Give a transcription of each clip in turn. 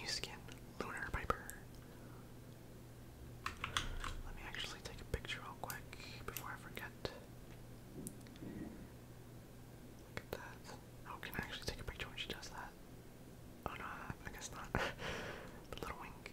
New skin, Lunar Piper. Let me actually take a picture real quick before I forget. Look at that. Oh, can I actually take a picture when she does that? Oh no, I guess not. little wink.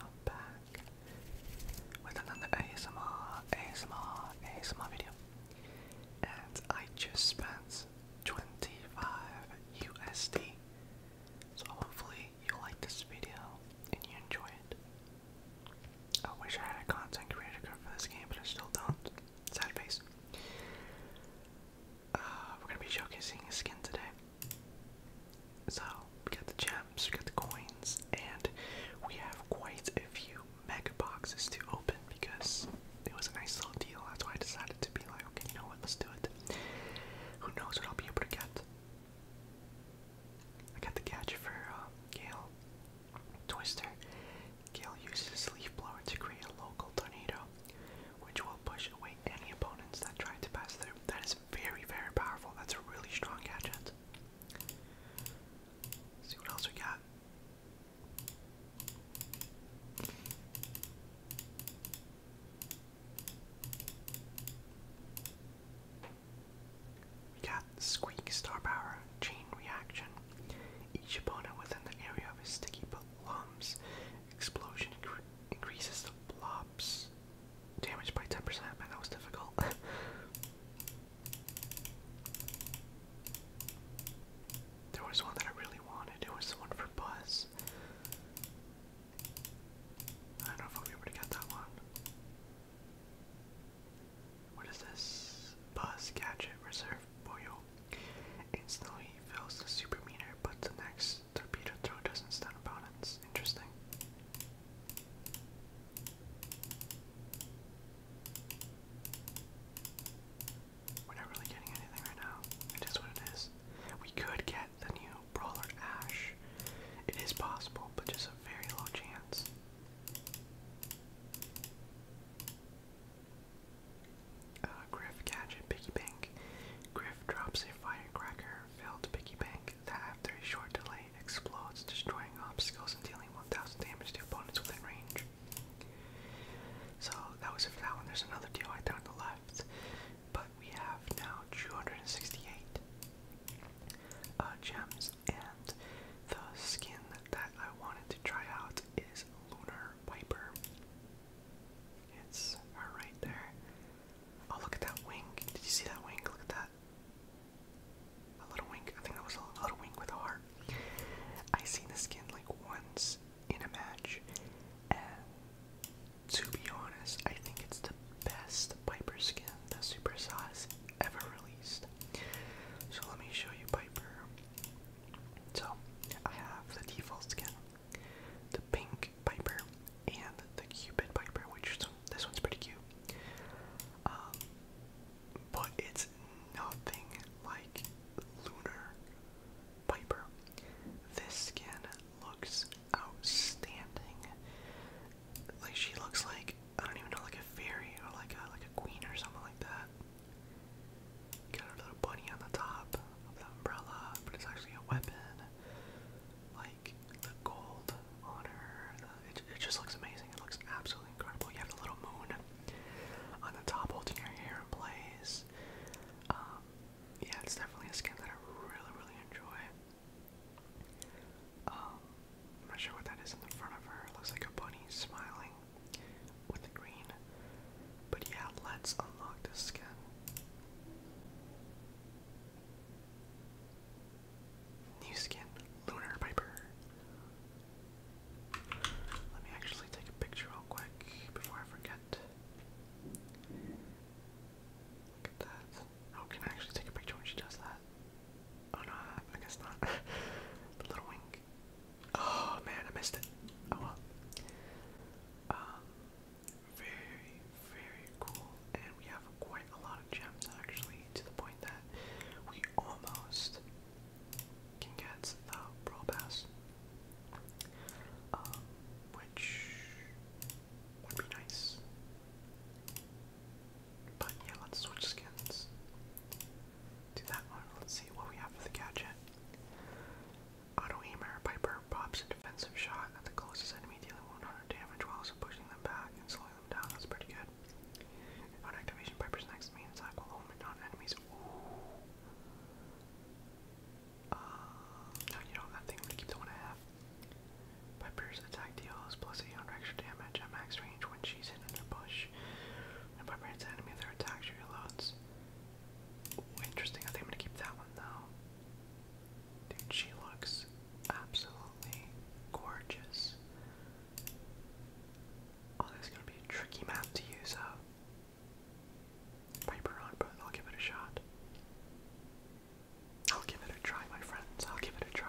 I'm back with another ASMR, ASMR, ASMR video. And I just spent 25 USD. So hopefully you like this video and you enjoy it. I wish I had a content creator card for this game, but I still don't. Sad face. Uh, we're gonna be showcasing a skin today. So we got the gems, we got the coins, and we have quite a few mega boxes to open because it was a nice little deal. That's why I decided to be like, okay, you know what, let's do it. Who knows what I'll be able to get? I got the gadget for uh, Gale Twister. Gale uses leaf blower to create a local tornado, which will push away any opponents that try to pass through. That is very, very powerful. That's a really strong gadget see what else we got. We got Squeak Star Power Chain Reaction. Each opponent within the area of his sticky lumps explosion increases the blobs Damaged by 10%, man, that was difficult. there was one that I really wanted, it was the one for Buzz. I don't know if I'll get that one. What is this? Buzz Gadget Reserve Boyo. Instantly fills the super meter, but the next torpedo throw doesn't stun opponents. Interesting. We're not really getting anything right now. It is what it is. We could get the new Brawler Ash. It is possible, but just a very low chance. Uh, Griff Gadget Piggy Bank. Griff drops a firecracker filled Piggy Bank that after a short delay explodes, destroying obstacles and dealing 1000 damage to opponents within range. So that was it for that There's another deal right there on the left. But we have now 268 uh, gems, and the skin that I wanted to try out is Lunar Piper. It's right there. Oh, look at that wing. Did you see that wing? Look at that. A little wing. I think that was a little wink with a heart. I seen the skin like once in a match, and to be honest, I think it's the best Piper skin that Super Sauce ever released. So let me show you Piper. So I have the default skin, the pink Piper and the Cupid Piper, which this one's pretty cute. Um, but it's nothing like Lunar Piper. This skin looks outstanding. Like she looks like I don't even know, like a fairy or like a like a queen or something like that. Got a little bunny on the top of the umbrella, but it's actually a weapon. Like the gold on her. Uh, it, just looks amazing. It looks absolutely incredible. You have the little moon on the top holding your hair in place. Um, yeah, it's definitely a skin that I really, really enjoy. Um, not sure what that is in the front of her. It looks like a bunny smiling with the green. But yeah, let's unlock this skin. New skin, Lunar Piper. Let me actually take a picture real quick before I forget. Look at that. Oh, can I actually take a picture when she does that? Oh no, I guess not. little wink. Oh man, I missed it. Oh well. Um, very, very cool. And we have quite a lot of gems actually, to the point that we almost can get the Pro Pass. Um, which would be nice. But yeah, let's switch skins. Do that one. Let's see what we have for the gadget. Auto Piper pops a defensive shot at the closest enemy, dealing 100 damage while also pushing them back and slowing them down. That's pretty good. On activation, Piper's next main attack will home on enemies. no, um, you know, that thing would keep the one half. Piper's attack deals plus 800 extra damage at max range when she's hidden in a bush. And Piper hits an enemy, their attack she reloads. interesting. I think I'm gonna keep that one though. Dude, she looks absolutely gorgeous. Oh, this is gonna be a tricky map to use up. Piper on, but I'll give it a shot. I'll give it a try, my friends. I'll give it a try.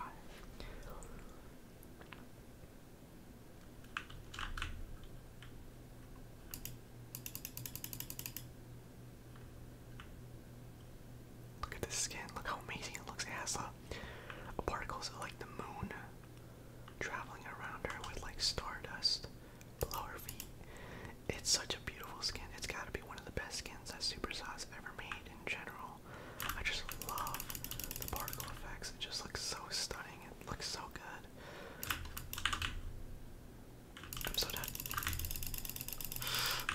Look at this skin. Look how amazing it looks. It has a uh, particles of like the moon traveling around her with like stardust below her feet. It's such a beautiful skin. It's gotta be one of the best skins that Super has ever made in general. I just love the particle effects. It just looks so stunning. It looks so good. I'm so done.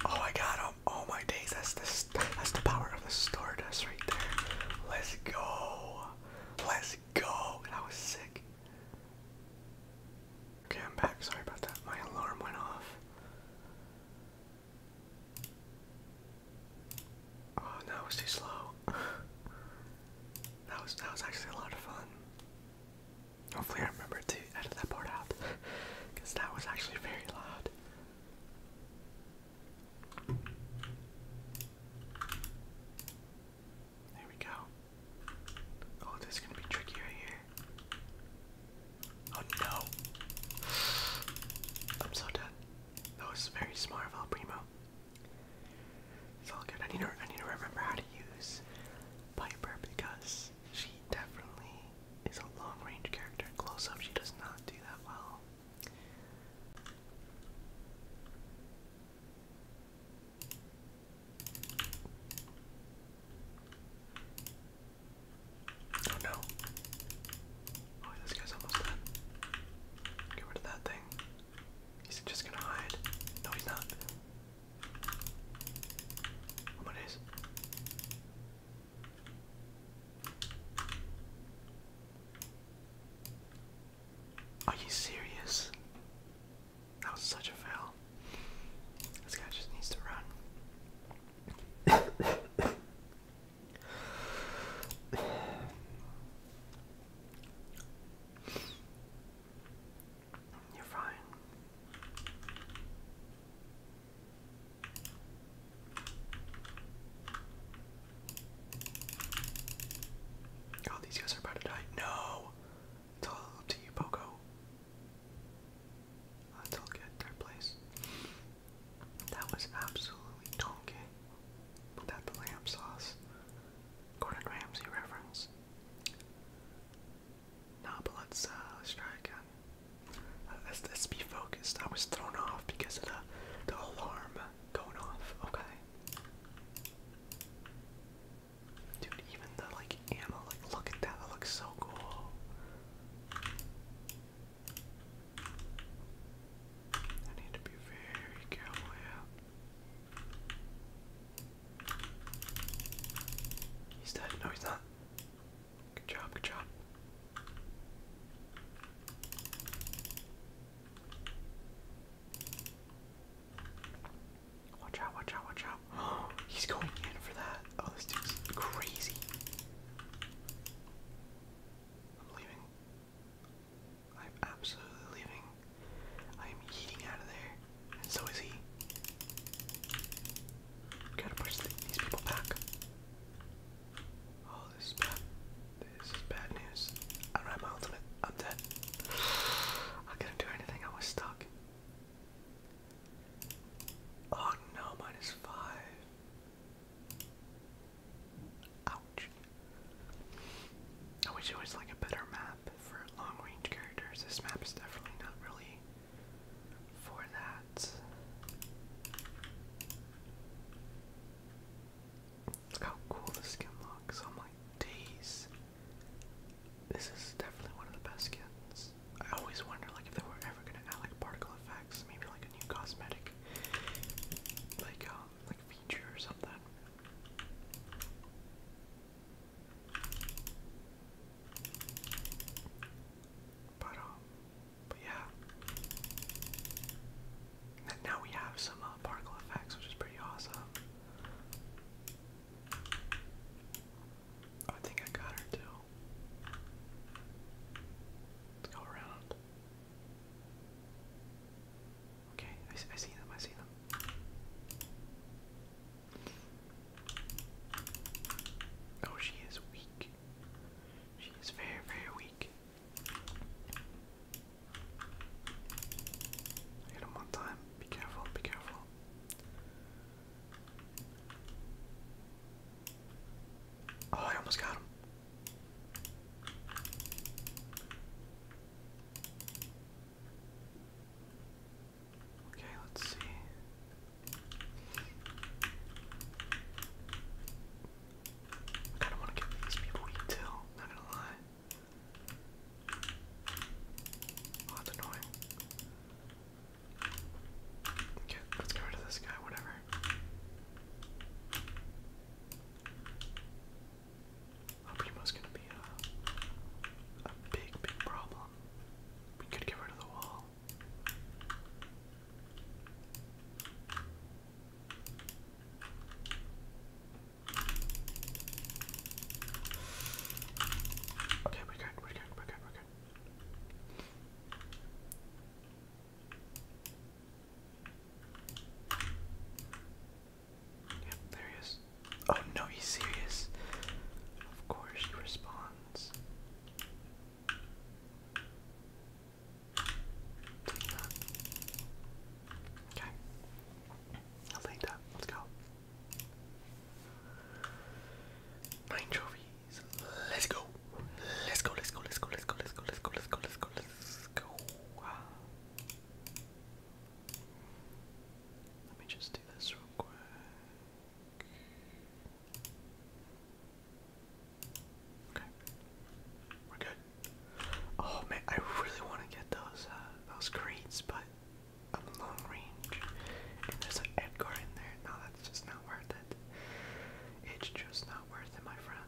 Oh, my god! Oh, oh my days, that's the that's the power of the Stardust right there. Let's go. Let's go. That was sick. Okay, I'm back. Sorry about that. My alarm went off. Oh no, it was too slow. that was that was actually a lot of fun. Hopefully, I remember to edit that part out because that was actually very loud. There we go. Oh, this is gonna be tricky right here. Oh no! I'm so done. That was very smart of El Primo. It's all good. I need to I need to remember how to use Piper because she definitely is a long range character. Close up, she does not do that well. Oh no. Oh, this guy's almost dead. Get rid of that thing. He's just gonna hide. No, he's not. What is? Are you serious? That was such a fail. This guy just needs to run. You're fine. Oh, these guys are about to die. No! It's all up to you, Poco. Let's get third place. That was absolutely donkey. Put the lamb sauce. Gordon Ramsay reference. Nah, but let's uh, let's try again. Uh, let's let's be focused. I was thrown off because of the the alarm going off. Okay. Dude, even the like ammo, like look at that. That looks so cool. I need to be very careful, He's dead. No, he's not. Good job, good job. Watch out, watch out, watch out. Oh, he's going in for that. Oh, this dude's crazy. I'm leaving. I'm absolutely leaving. I'm eating out of there, and so is he. Gotta push these people back. Oh, this is bad. This is bad news. I do my ultimate. I'm dead. I couldn't do anything. I was stuck. Oh no, minus five. Ouch. I wish it was like a better map for long range characters. This map is definitely not really for that. Look how cool the skin looks. I'm oh like, days. This is definitely one of the best skins. I always wonder, like, if they were ever gonna add like particle effects, maybe like a new cosmetic, like um, like feature or something. But, um, but yeah. now we have some uh, particle effects, which is pretty awesome. I think I got her too. Let's go around. Okay, I, I see them, I see them. Oh, she is weak. She is very, very weak. Hit him one time. Be careful, be careful. Oh, I almost got him. Okay, let's see. I kind of want to give these people heat not gonna lie. Oh, that's annoying. Okay, let's get rid of this guy, whatever. Uh, Primo's gonna be a, a big, big problem. We could get rid of the wall. Okay, we're good, we're good, we're good, we're good. Yep, there he is. Oh no, he's serious. Of course he responds. Okay. I'll take that. Let's go. Nine trophies. let's go, let's go, let's go, let's go, let's go, let's go, let's go, let's go, let's go. Let me just do this real quick. Okay. We're good. Oh man, I really want to get those uh, those crates, but I'm long range. And there's an Edgar in there. No, that's just not worth it. It's just not worth it, my friend.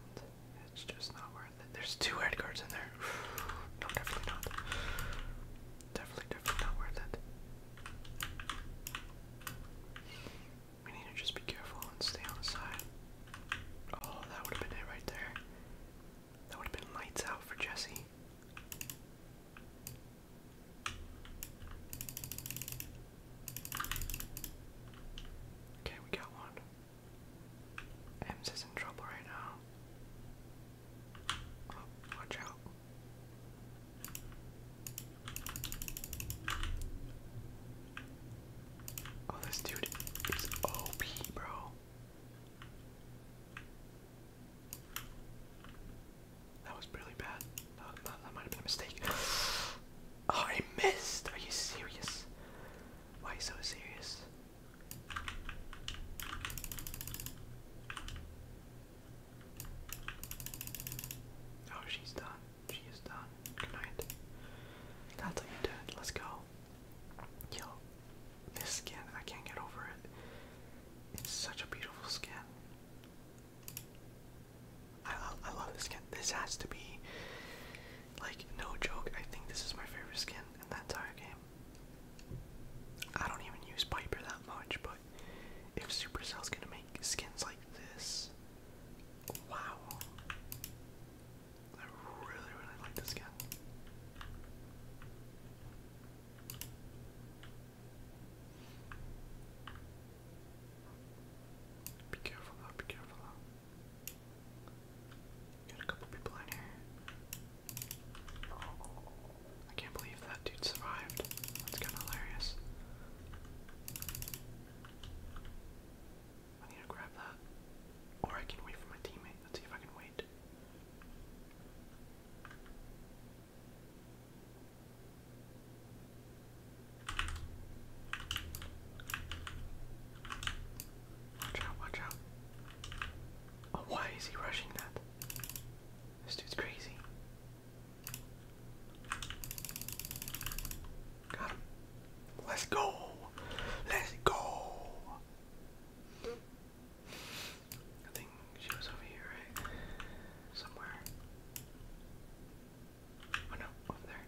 It's just not worth there's two head guards in there. No, definitely not. Definitely, definitely not worth it. We need to just be careful and stay on Oh, that would have been it right there. That would have been lights out for Jesse. Okay, we got one. Ems is in trouble right now. Oh, watch out. Oh, this dude is OP, bro. That was really bad. That, that, that might have been a mistake. Oh, I missed! Are you serious? Why so serious? Oh, she's done. She is done. Good night. That's how you do it. Let's go. Yo, this skin, I can't get over it. It's such a beautiful skin. I I love this skin. This has to be like, no joke, I think this is my favorite skin in the entire game. I don't even use Piper that much, but if Supercell's gonna make skins like this, wow. I really, really like this skin. Be careful be careful Got a couple people in here. I can't believe that dude survived. That's kind of hilarious. I need to grab that. Or I can wait for my teammate. Let's see if I can wait. Watch out, watch out. Oh, why is he rushing that? This dude's crazy. Got him. Let's go. Let's go. I think she was over here, right? Somewhere. Oh no, over there.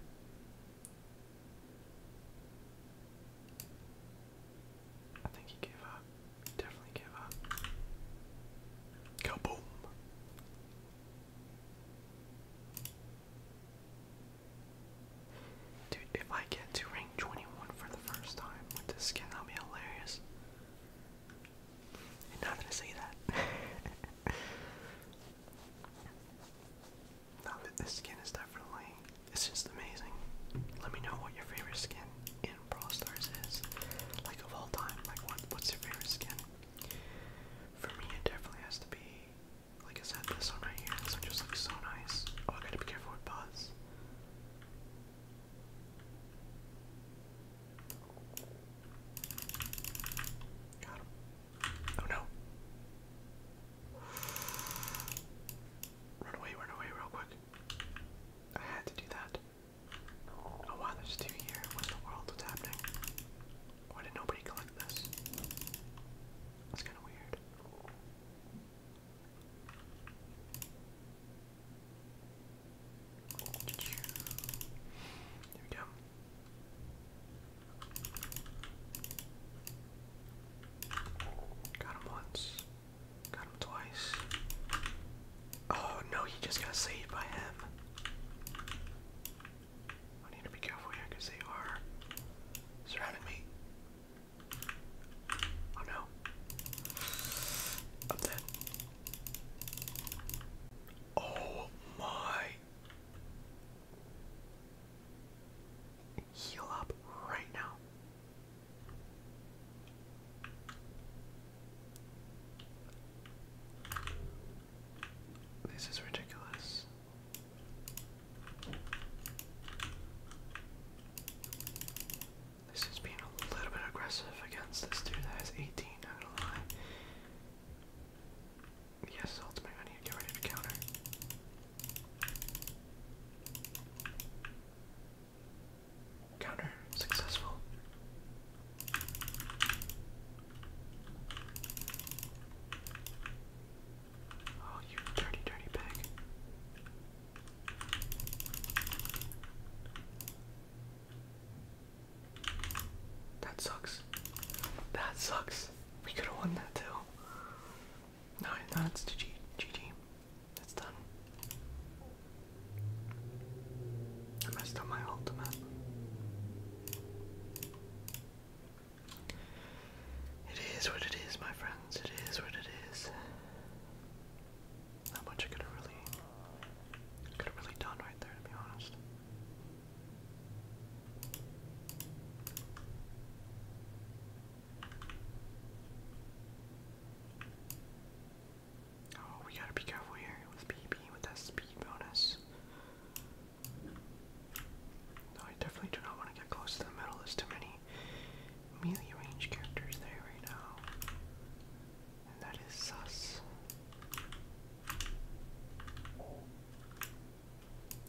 I think he gave up. definitely gave up. Kaboom! Dude, if I get to rank 21 for the first time with this skin, that'll be hilarious. you not gonna say that. this skin is definitely, it's just amazing. Let me know what your favorite skin in Brawl Stars is, like of all time. Like what, what's your favorite skin? For me, it definitely has to be, like I said, this one right here. This one just looks so nice. Oh, I gotta be careful with Buzz. Oh no. Run away, run away real quick. I had to do that. Oh wow, there's two here. What in the world? What's happening? Why did nobody collect this? That's kinda weird. There we go. Got him once. Got him twice. Oh no, he just got saved by him. I need to be careful here because they are surrounding me. Oh no. I'm Oh my Heal up right now. This is ridiculous. This is being a little bit aggressive against this dude that has 18, not gonna lie. Yes, ultimate. I need get rid of counter. Counter successful. Oh, you dirty, dirty pig. That sucks. That sucks. We could have won that too. No, no, it's GG. GG. That's done. I messed up my ultimate. It is what it is, my friends. It is what it is. Not much could have really, could have really done right there, to be honest. Oh, we gotta be careful here with BB with that speed bonus. No, I definitely do not want to get close to the middle. There's too many melee range characters there right now. And that is sus.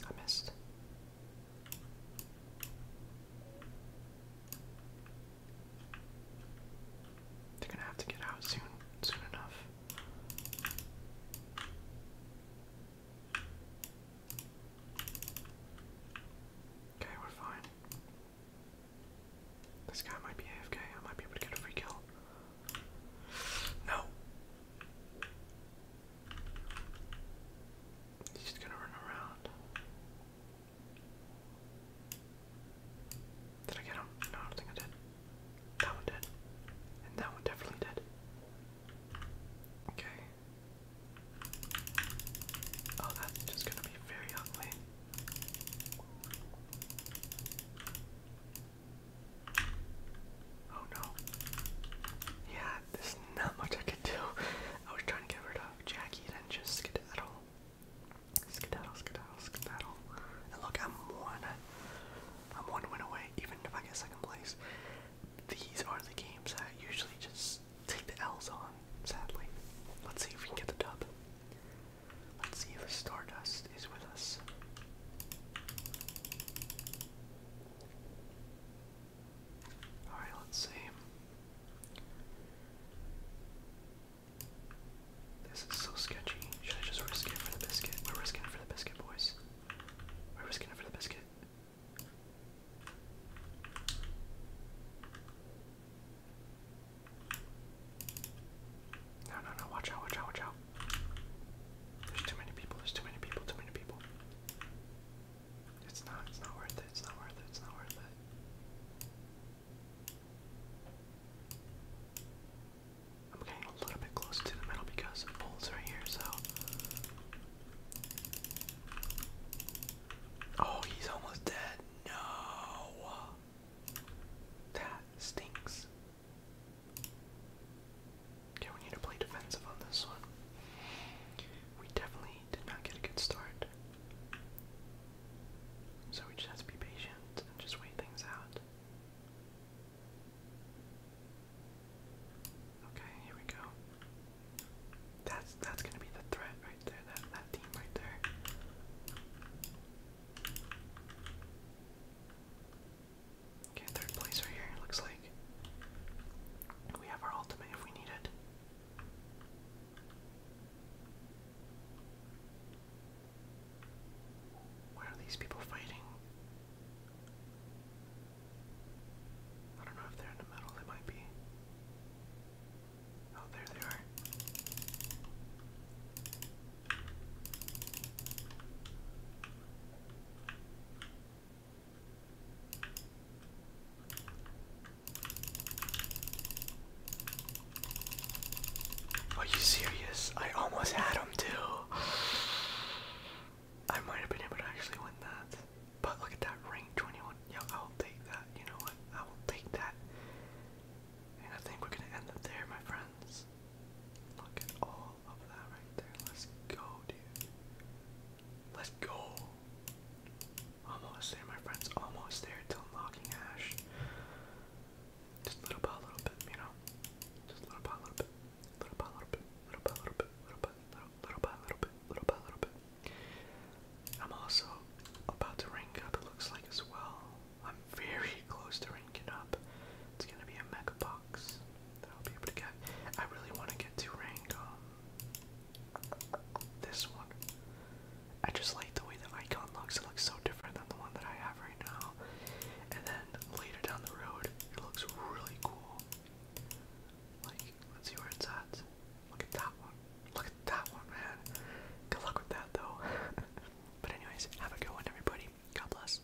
I missed. They're gonna have to get out soon, soon enough. Okay, we're fine. This guy might be AFK. I might be able to get a free kill. No. He's just gonna run around. Did I get him? No, I don't think I did. That one did. And that one definitely did. Okay. Oh, that's just gonna be very ugly. Oh no. Yeah, there's not much I could do. I was trying to get rid of Jackie and then just skedaddle. Skedaddle, skedaddle, skedaddle. And look, I'm one. I'm one win away, even if I get second place. These are the games that I usually just take the L's on, sadly. Let's see if we can get the dub. Let's see if Stardust is with us. Alright, let's see. This is so sketchy. Should I just risk it for the biscuit? We're it for the biscuit, boys. We're it for the biscuit. No, no, no, watch out, watch out, watch out. There's too many people, there's too many people, too many people. It's not, it's not worth it, it's not worth it, it's not worth it. I'm getting a little bit close to the middle because the pole's right here, so. Oh, he's almost dead. No. That stinks. Okay, we need to play defensive on this one. We definitely did not get a good start. So we just have to be patient and just wait things out. Okay, here we go. That's that's gonna be the threat right there, that that team right there. Okay, third place right here, looks like. We have our ultimate if we need it. Why are these people fighting? I don't know if they're in the middle, they might be. Oh, there they are. Are you serious? I almost had him too. I might have been able to actually win that. But look at that rank 21. Yo, I'll take that. You know what? I will take that. And I think we're going to end up there, my friends. Look at all of that right there. Let's go, dude. Let's go. Almost there, my friends. Almost there to unlocking Ash. Just little by little bit, you know? Just little by little bit. Little by little bit. Little by little bit. Little by little, little by little bit. Little little bit. I'm also about to ring up, it looks like, as well. I'm very close to ranking up. It's gonna be a mega box that I'll be able to get. I really want to get to rank um, this one. I just like the way that icon looks. It looks so different than the one that I have right now. And then later down the road, it looks really cool. Like, let's see where it's at. Look at that one. Look at that one, man. Good luck with that, though. But anyways, have a good one everybody. God bless.